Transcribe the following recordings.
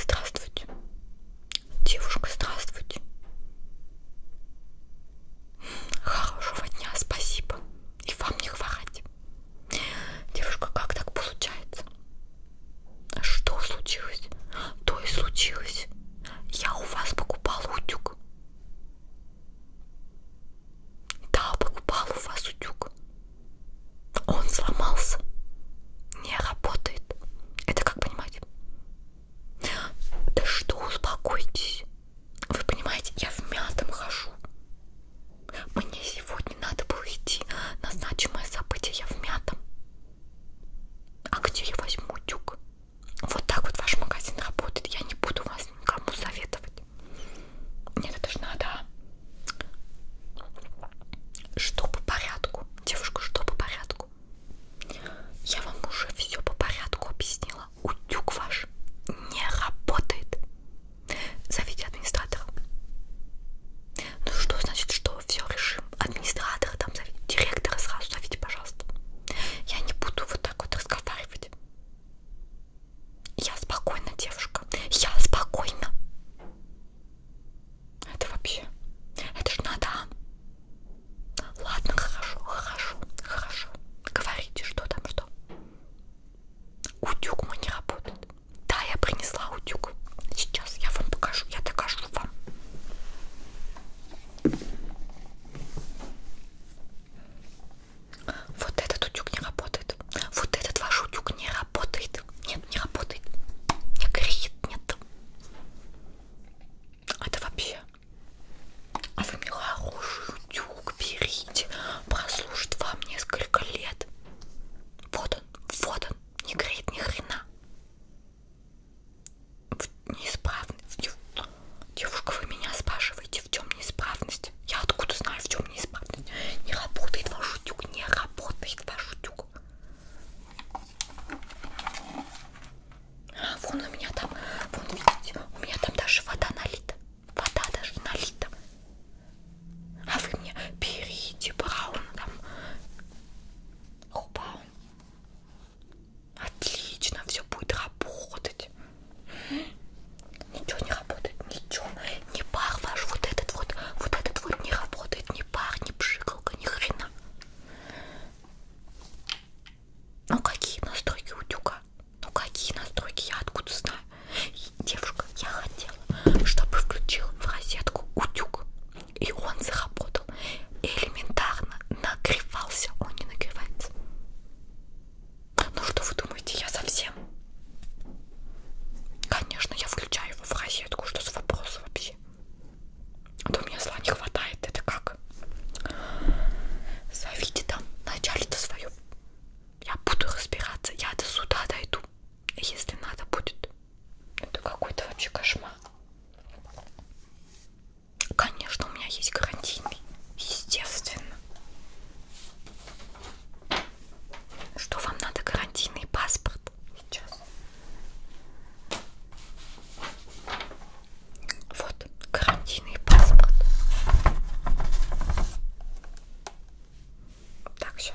Здравствуйте. Девушка, здравствуйте. Хорошего дня, спасибо. И вам не хворать. Девушка, как так получается? Что случилось? То и случилось. Я у вас покупала утюг. Да, покупала у вас утюг. Он сломался. Не работает. Это как понимать? Да что, успокойтесь. Вы понимаете, я в мятом хожу. Мне сегодня надо было идти на значимое событие. Я в мятом. А где я возьму утюг? Вот так вот ваш магазин работает. Я не буду вас никому советовать. Нет, это же надо. Что по порядку? Девушка, что по порядку? Я вам уже все по порядку объяснила. Утюг ваш не работает. Зовите администратора. Ну что значит, что все решим? Администратора там зовите, директора сразу зовите, пожалуйста. Я не буду вот так вот разговаривать. Я спокойна, девушка. Я спокойна. Это вообще... Это ж надо. Ладно, хорошо, хорошо, хорошо. Говорите, что там, что. Утюг мой не работает. Да, я принесла утюг. Сейчас я вам покажу, я докажу вам. Вот этот утюг не работает. Вот этот ваш утюг не работает. Нет, не работает. Не греет, нет. Это вообще. А вы мне хороший утюг берите. Прослужит вам несколько лет. Вот он, вот он. Не греет ни хрена. Неисправный. Девушка, вы меня спрашиваете знаете, в чем неисправность? Я откуда знаю, в чем неисправность? Не работает ваш утюг, не работает ваш утюг. А, вон у меня там, вон видите, у меня там даже вода налита. Вода даже налита. А вы мне берите браун там. О, браун. Отлично, все будет работать. Ничего не работает, ничего. Не пар ваш, вот этот вот, вот этот вот не работает, не пар, не пшикалка, ни хрена. Ну какие настройки утюга? Ну какие настройки, я откуда знаю? Девушка, я хотела, чтобы включил в розетку утюг, и он заработал. Элементарно нагревался, он не нагревается. Ну что вы думаете, я совсем? Конечно, я включаю его в розетку, что за вопрос вообще? А то у меня зла не хватает, это как? Зовите там начальство свое. Я буду разбираться, я до суда дойду, если надо будет. Это какой-то вообще кошмар. Конечно, у меня есть гарантийный. Естественно. Что вам надо гарантийный паспорт? Сейчас. Вот гарантийный паспорт. Так, все.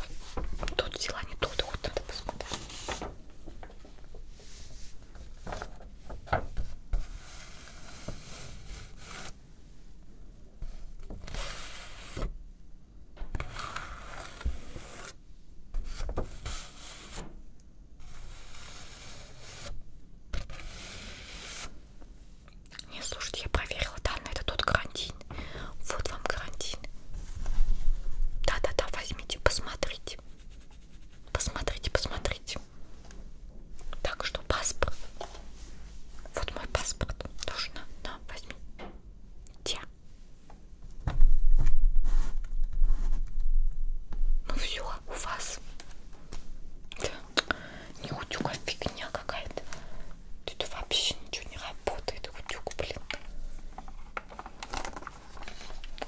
Тут дела не тут, вот надо посмотреть. Не слушайте, я проверила данные, это тот карантин. Вот вам карантин. Да-да-да, возьмите, посмотрите. Посмотрите, посмотрите. Так что паспорт. Вот мой паспорт. Тоже на, на возьми. Те. Ну все, у вас. Не утюга фигня какая-то. Тут вообще ничего не работает. Утюг, блин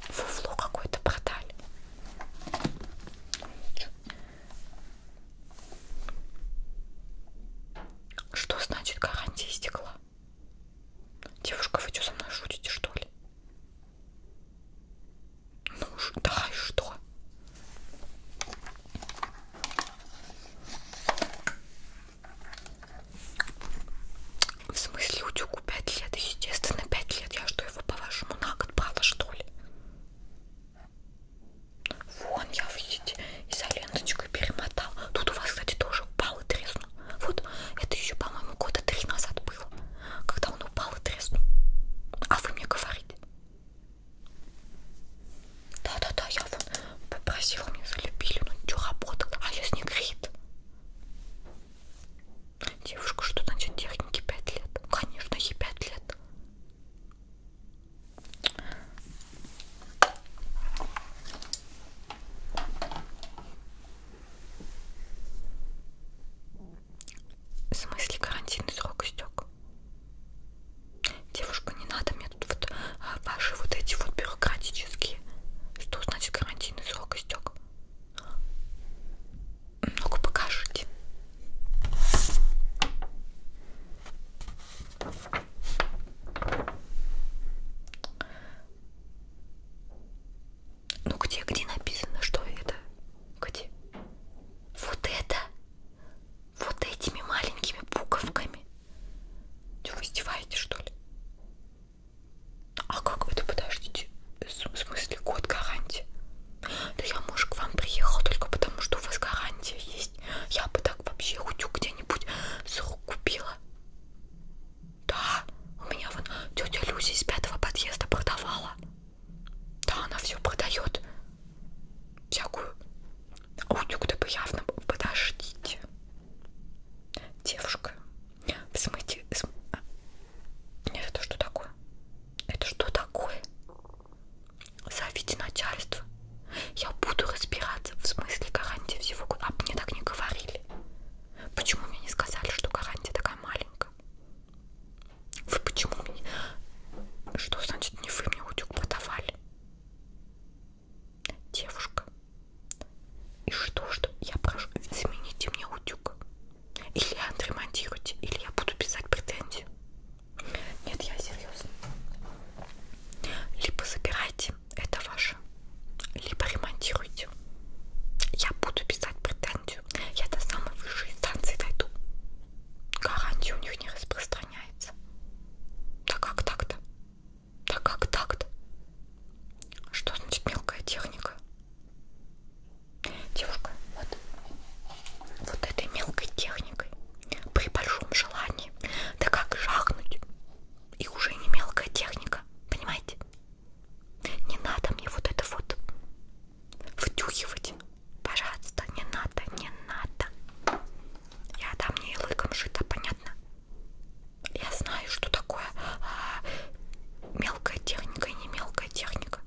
фуфло какое-то продали. Что значит гарантия стекла? Девушка, вы что со мной шутите, что ли? Ну да, и что? В смысле, утюгу 5 лет? Естественно, 5 лет. Я что, его, по-вашему, на год брала, что ли? Вон, я, видите, изоленточкой перемотал. Тут у вас, кстати, тоже упал и треснул. Вот, это еще, по-моему, года три назад было, когда он упал и треснул. А вы мне говорите? Да-да-да, я вон попросила, мне залепили, но ну, ничего работал, а я с ней грит. Девушка, что значит техники 5 лет? Ну, конечно, ей 5 лет. В смысле карантинный срок истек? Девушка, не надо мне тут вот а, ваши вот эти вот бюрократические. Что значит карантинный срок истек? Ну-ка покажите. Ну где, где написано, что это? Где? Вот это? Вот этими маленькими буковками? Что, вы издеваетесь, что ли? А как это, подождите, в смысле год гарантии? Да я, может, к вам приехал только потому, что у вас гарантия есть. Я бы так вообще утюг где-нибудь с рук купила. Да, у меня вон тетя Люся из пятого подъезда продавала. Да, она все продает. Всякую. А утюг-то бы явно подождите. Девушка, в смысле... А, нет, это что такое? Это что такое? Зовите начальство. Я буду разбираться в смысле гарантии всего года. А мне так не говорили. Почему мне не сказали, что гарантия такая маленькая? Вы почему мне... Что значит не вы мне утюг продавали? девушка. И что, что я прошу, замените мне утюг. Или отремонтируйте, или я буду писать претензию. Нет, я серьезно. Либо забирайте, это ваше, либо ремонтируйте. Я буду писать претензию. Я до самой высшей инстанции дойду. Гарантия у них не распространяется. Да как так-то? Да как так-то? Что значит мелкая техника? Девушка, вот, вот этой мелкой техникой при большом желании, да как жахнуть, и уже не мелкая техника, понимаете? Не надо мне вот это вот втюхивать, пожалуйста, не надо, не надо. Я там не лыком шита, понятно? Я знаю, что такое а, мелкая техника и не мелкая техника.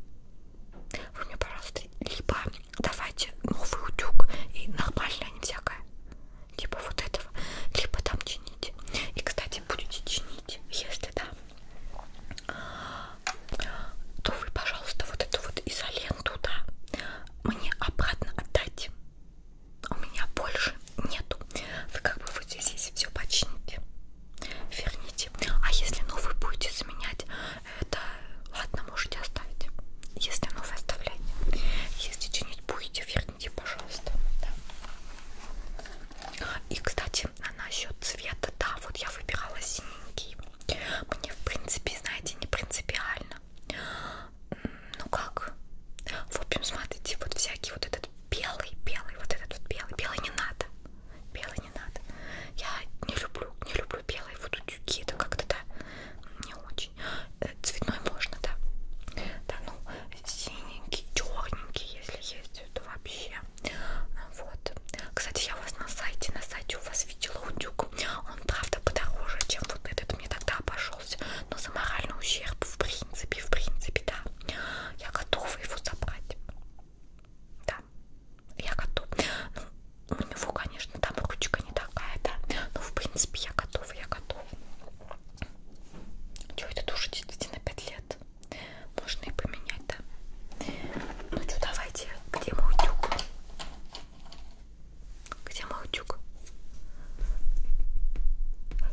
Вы мне, пожалуйста, либо давайте новый утюг и нормально, а не всякое, типа вот этого, либо там чините. И, кстати, будете чинить, если да, то вы, пожалуйста, вот эту вот изоленту, да, мне обратно отдайте у меня больше нету. Вы как бы вот здесь все почините, верните. А если новый будете заменять, это ладно, можете оставить. Если новый оставляйте. Если чинить будете, верните, пожалуйста. Да. И, кстати, а насчет цвета, да, вот я выбирала синенький. Мне, в принципе, знаете, не принципиально ну как, в общем, смотрите, вот всякий вот этот белый, белый, вот этот вот белый, белый не надо, белый не надо, я не люблю, не люблю белые вот утюги, это как-то, да, не очень, э, цветной можно, да, да, ну, синенький, черненький, если есть, это вообще, вот, кстати, я у вас на сайте, на сайте у вас видела утюг книжку. Он, правда, подороже, чем вот этот мне тогда обошелся. Но за моральный ущерб, в принципе, в принципе, да. Я готова его забрать. Да, я готова. Ну, у него, конечно, там ручка не такая, да. Но, ну, в принципе, я готова, я готова. Че, это тоже действительно 5 лет? Можно и поменять, да? Ну что, давайте, где мой утюг? Где Молодюк?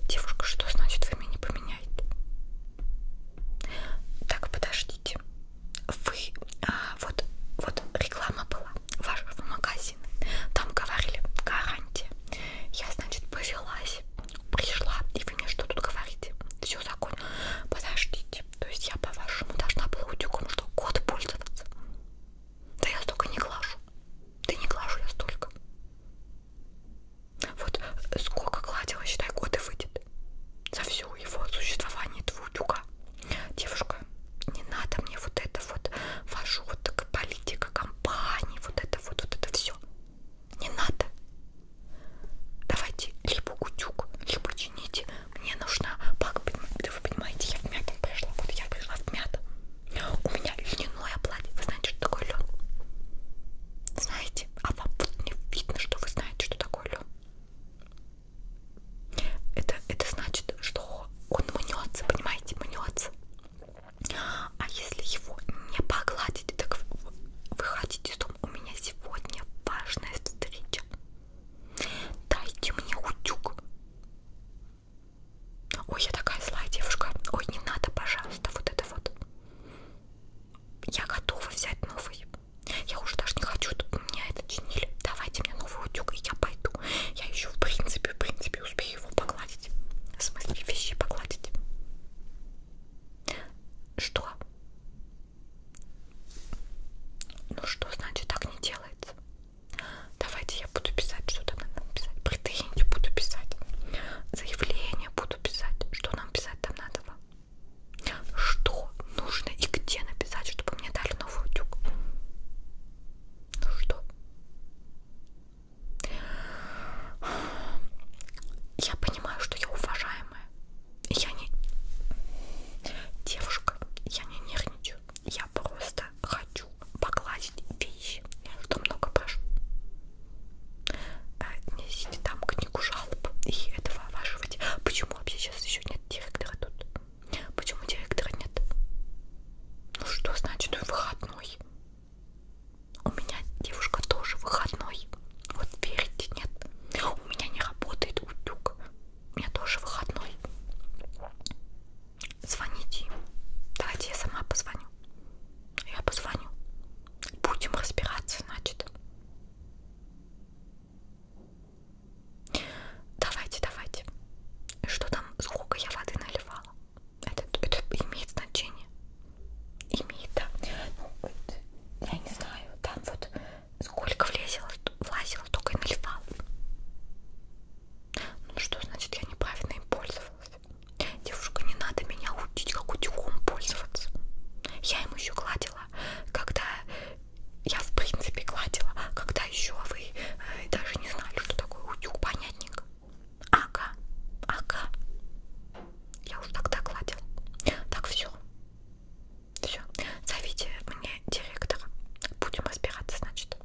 Девушка, что значит вы меня не поменяете? Так, подождите. Вы, а, вот, вот реклама была вашего магазина. Там говорили гарантия. Я, значит, повелась, пришла, и вы мне что тут говорите? Все законно. Подождите. То есть я, по-вашему, должна была утюгом что год пользоваться? Да я столько не глажу. Да не глажу я столько. Вот э, сколько гладила, считай, год и выйдет. За все его существование твоего утюга. Девушка, не надо мне вот это вот вашу вот политика компании, вот это вот, вот это все. Не надо. Давайте либо утюг, либо чините мне нужна пак, вы понимаете, я в мятом пришла, вот я пришла в мятом. У меня льняное платье, вы знаете, что такое лен? Знаете? А вам не видно, что вы знаете, что такое лен. Это, это значит, что он мнется, понимаете, мнется. А если его не погладить, так вы, вы хотите, что у меня сегодня важная встреча. Дайте мне утюг. Ой, я такая злая девушка. Ой, не надо, пожалуйста, вот это вот. Я готова взять новый. Я уже даже не хочу, чтобы меня это чинили. Давайте мне новый утюг, и я пойду. Я еще, в принципе, в принципе, успею его погладить. В смысле, вещи погладить. Что? Ну что значит так не делается? Давайте я буду писать, что там надо писать. Претензию буду писать. Заявление буду писать. Что нам писать там надо? Что нужно и где написать, чтобы мне дали новый утюг? Ну что? Я понимаю, что я уважаемая. Я не... Девушка, я не нервничаю. Я просто хочу погладить вещи. Я что много прошу. Э, Несите там книгу жалоб и этого оваживать. Почему вообще сейчас еще нет директора тут? Почему директора нет? Ну что значит он выходной? У меня девушка тоже выходной. Вот верите, нет? У меня не работает утюг. У меня тоже выходной. Звоните им. Давайте я сама позвоню. Я позвоню. Будем разбираться, значит. Давайте, давайте. Что там, сколько я воды наливала? Это, это имеет значение. Имеет, да. Ну, я не знаю, там вот сколько влезело, влазило, только и наливал. Ну что значит я неправильно им пользовалась? Девушка, не надо меня учить, как утюгом пользоваться. Я им еще гладила, когда я в принципе гладила, а когда еще вы э, даже не знали, что такое утюг, понятненько. Ага, ага. Я уж тогда гладила. Так все, все, зовите мне директора. Будем разбираться, значит.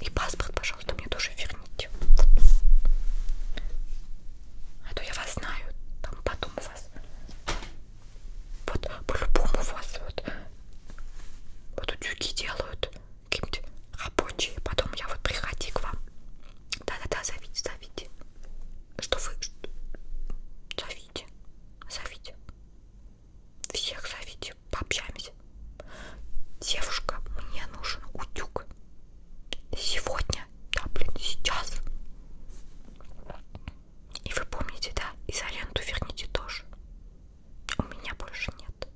И паспорт, пожалуйста, мне тоже верните. А то я вас знаю, там потом у вас. Вот по-любому вас вот, вот утюги делают какие-нибудь рабочие. Потом я вот приходи к вам. Да-да-да, зовите, зовите что вы... Зовите, зовите. Всех зовите, пообщаемся. Девушка, мне нужен утюг. Сегодня, да, блин, сейчас. И вы помните, да, изоленту верните тоже. У меня больше нет.